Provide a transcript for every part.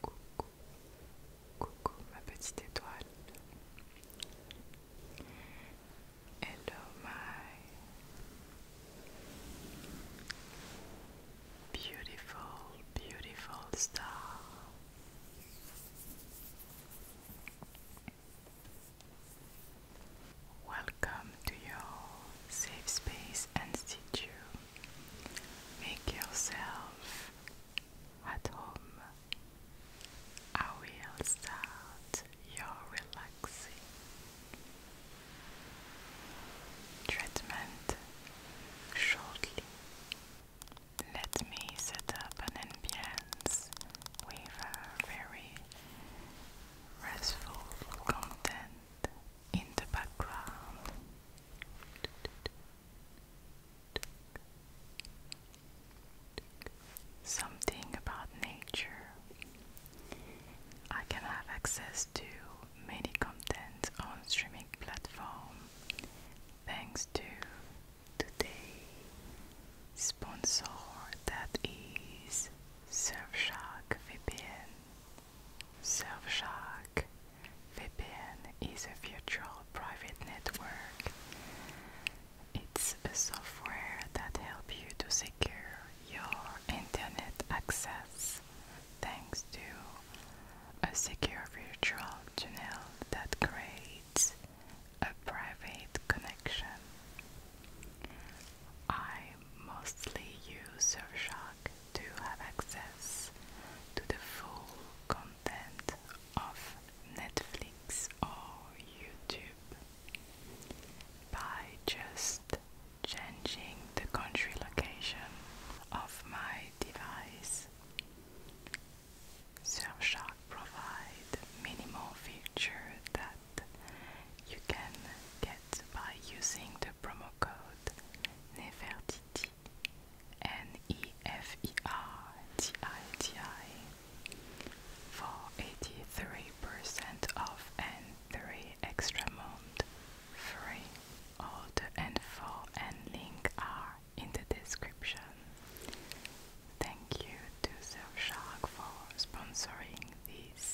Coucou, coucou ma petite étoile. Hello my beautiful, beautiful star. Welcome to your safe space and situ. Make yourself at home. I will start your relaxing treatment shortly. Let me set up an ambience with a very restful content in the background. Something about nature. I can have access to many content on streaming platform thanks to today sponsor that is Surfshark VPN. Surfshark VPN is a virtual private network. It's a software that helps you to secure your internet access thanks to a secure virtual tunnel that creates a private connection. I mostly use Surfshark to have access to the full content of Netflix or YouTube by just changing the country location of my device. Surfshark provides many more features that you can get by using the promo code Nefertiti N-E-F-E-R-T-I-T-I -I, for 83% off and 3 extra months free. All the info and link are in the description. Thank you to Surfshark for sponsoring this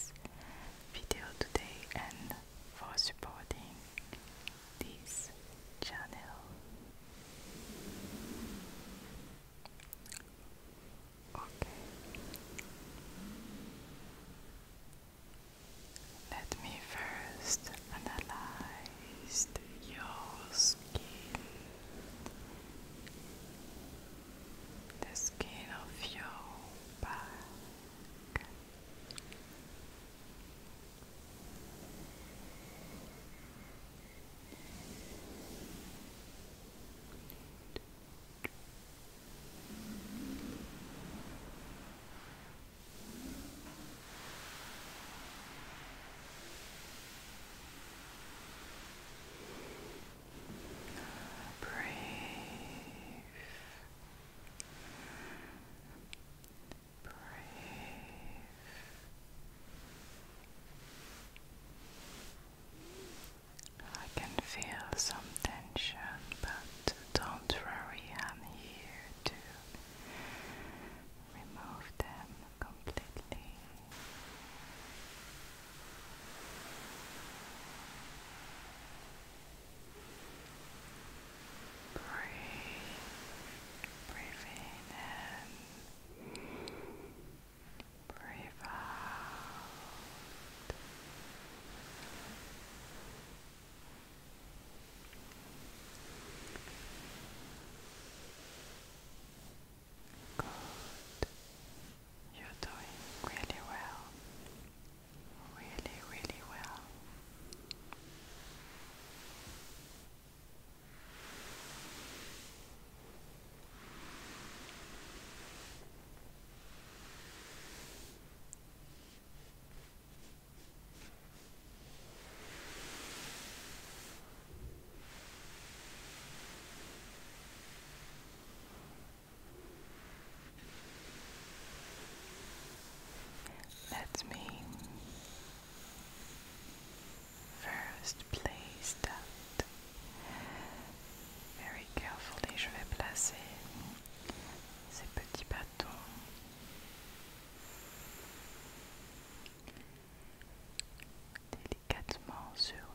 video today and for supporting this channel. Okay. Let me first analyze your skin the skin of your back brave, brave. I can feel some tension, but don't worry, I'm here to remove them completely. Breathe, breathe in, breathe out. Good. You're doing really well. Really, really well. Let me first place that very carefully. Je vais placer ces petits bâtons. Délicatement sur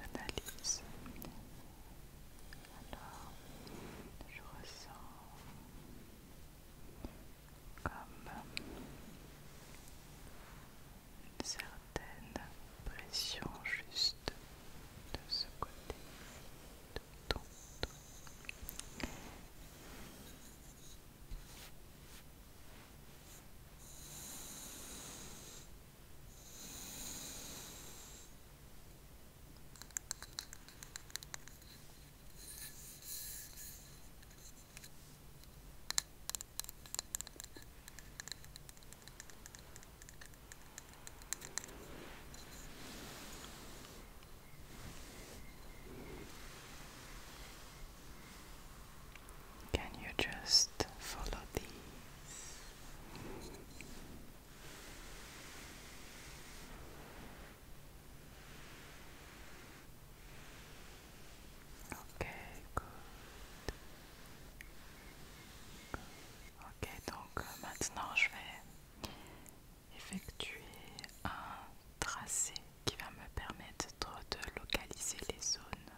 J'analyse alors, je ressens comme une certaine pression juste de ce côté Can you just follow these? Ok, Ok, donc euh, maintenant je vais effectuer un tracé qui va me permettre de localiser les zones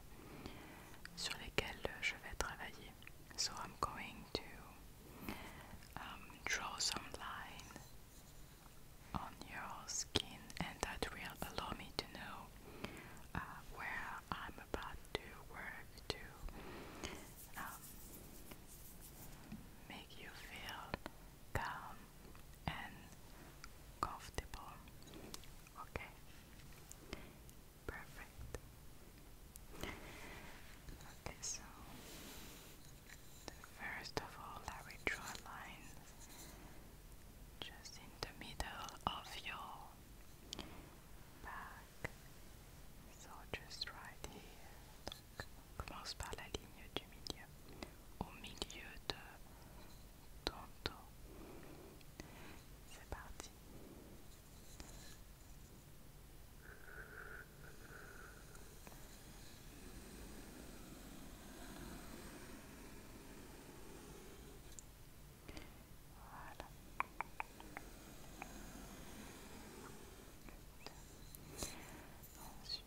sur lesquelles je vais travailler. So I'm going to Um, draw some lines on your skin, and that will allow me to know uh, where I'm about to work to um, make you feel calm and comfortable. Okay, perfect. Okay, so first of all, I will draw a line just in the middle of your back. So just right here. commence par la ligne du milieu, au milieu de ton dos. C'est parti. Voilà. Ensuite. Voilà.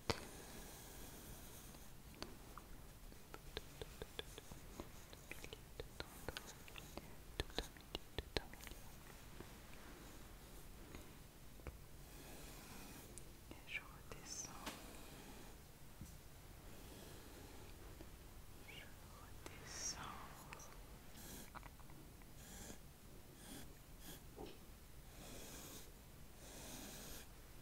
Et je redescends. Je redescends.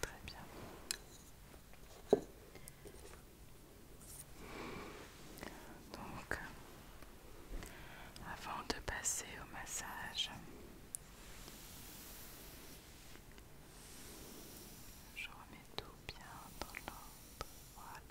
Très bien. Donc, avant de passer au massage, je remets tout bien dans l'ordre.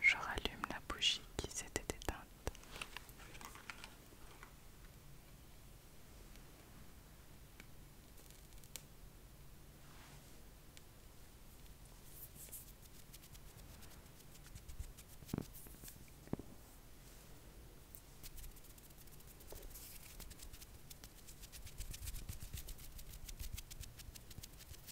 Je rallume la bougie qui s'était éteinte.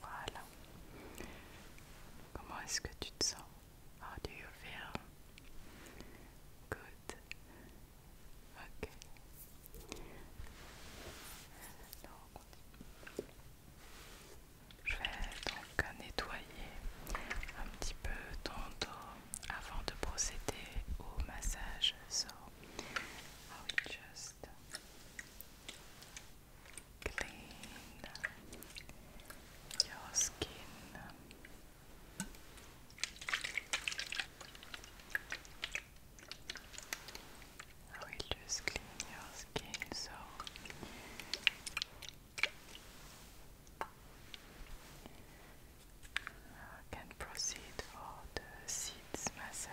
Voilà. Comment est-ce que tu te sens Comment do you feel? Good. Ok. je vais donc nettoyer un petit peu ton dos avant de procéder au massage. So, I just clean your skin. I will just clean your skin so I can proceed for the seeds massage.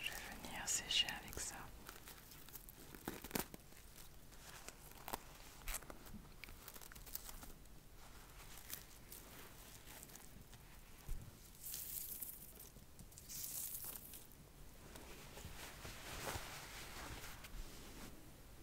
Je vais venir sécher avec ça.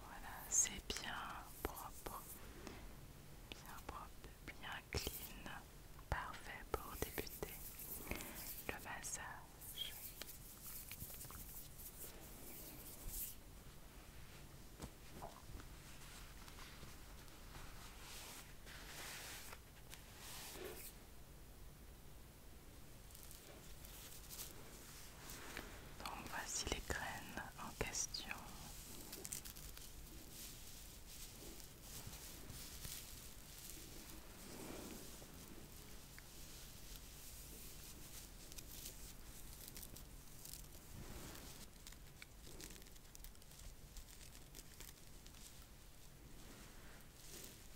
Voilà, c'est bien propre, bien propre, bien clean, parfait pour débuter le massage. Donc voici les graines en question.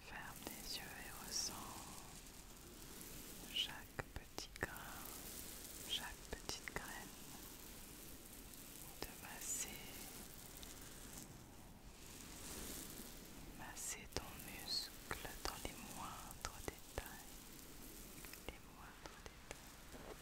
Ferme les yeux et ressens chaque petit grain, chaque petite graine de masser, masser ton muscle dans les moindres détails, les moindres détails.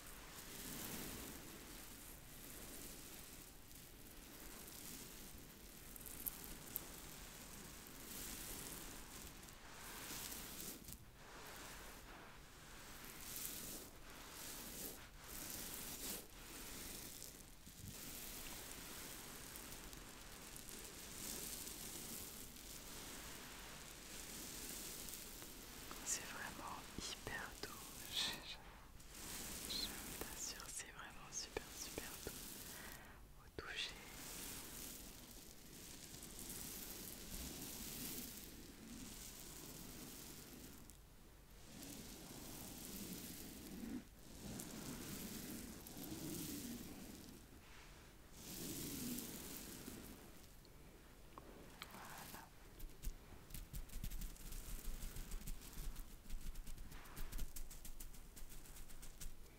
C'est vraiment hyper doux, je, t'assure, c'est vraiment super super doux toucher.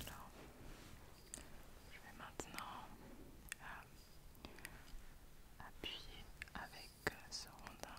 Alors, je vais maintenant euh, appuyer avec euh, ce rondin.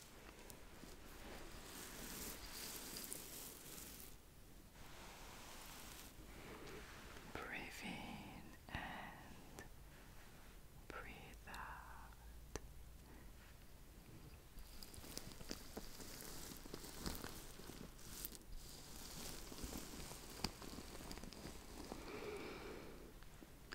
Breathe in and breathe out.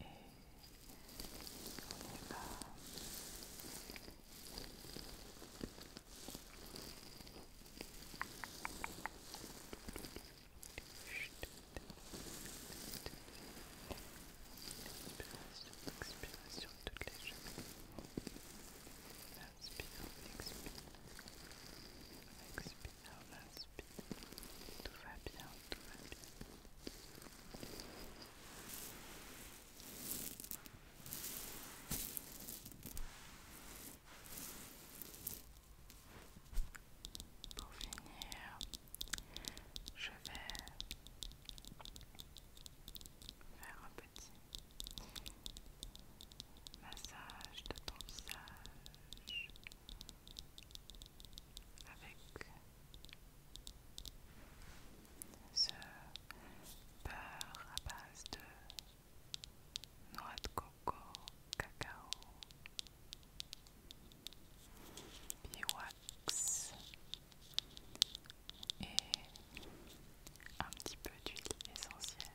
et on y Expiration, toutes les Inspire, expire. Expire, Tout va bien. Pour finir, je vais faire un petit massage de ton avec ce beurre à base de noix de coco, cacao, wax et un petit peu d'huile essentielle.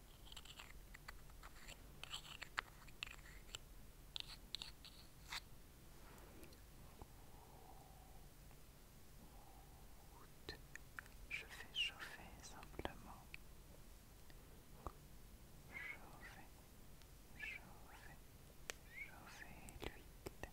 Je fais chauffer simplement. Chauffer, chauffer, chauffer l'huile.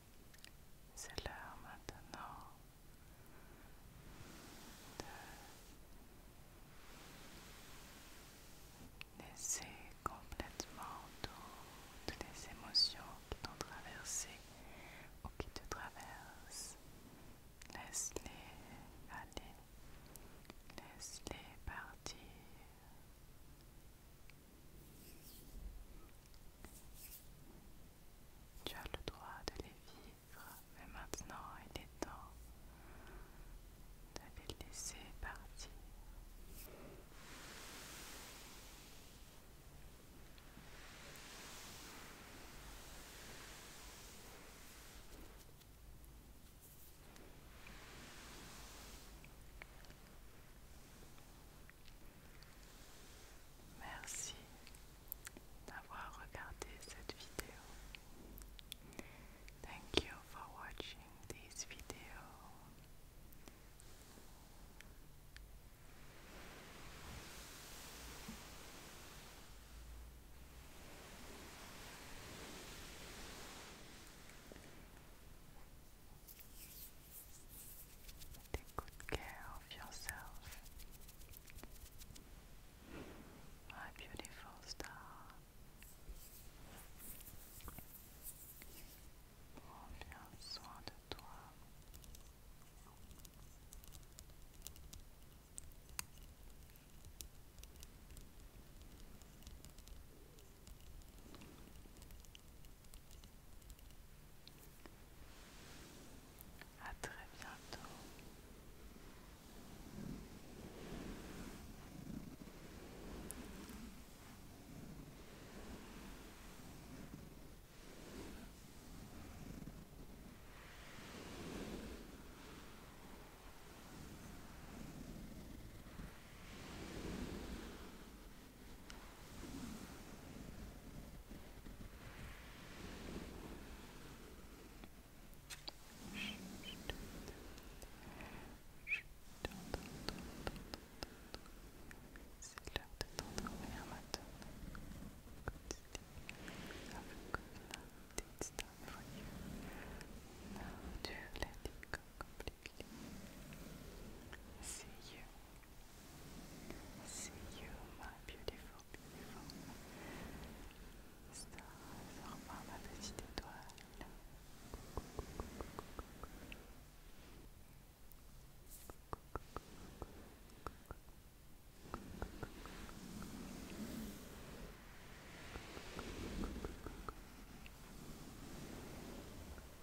C'est l'heure maintenant de laisser complètement toutes les émotions qui t'ont traversé ou qui te traversent. Laisse-les aller. Laisse-les partir. Tu as le droit de les vivre, mais maintenant il est temps de les laisser partir. Merci d'avoir regardé cette vidéo. Thank you for watching this video. Take good care of yourself. My beautiful star. Prends bien soin de toi. À très bientôt. C'est l'heure de t'endormir maintenant. une do dure, it comme completely. See you. See you, my beautiful, beautiful star, ma petite étoile.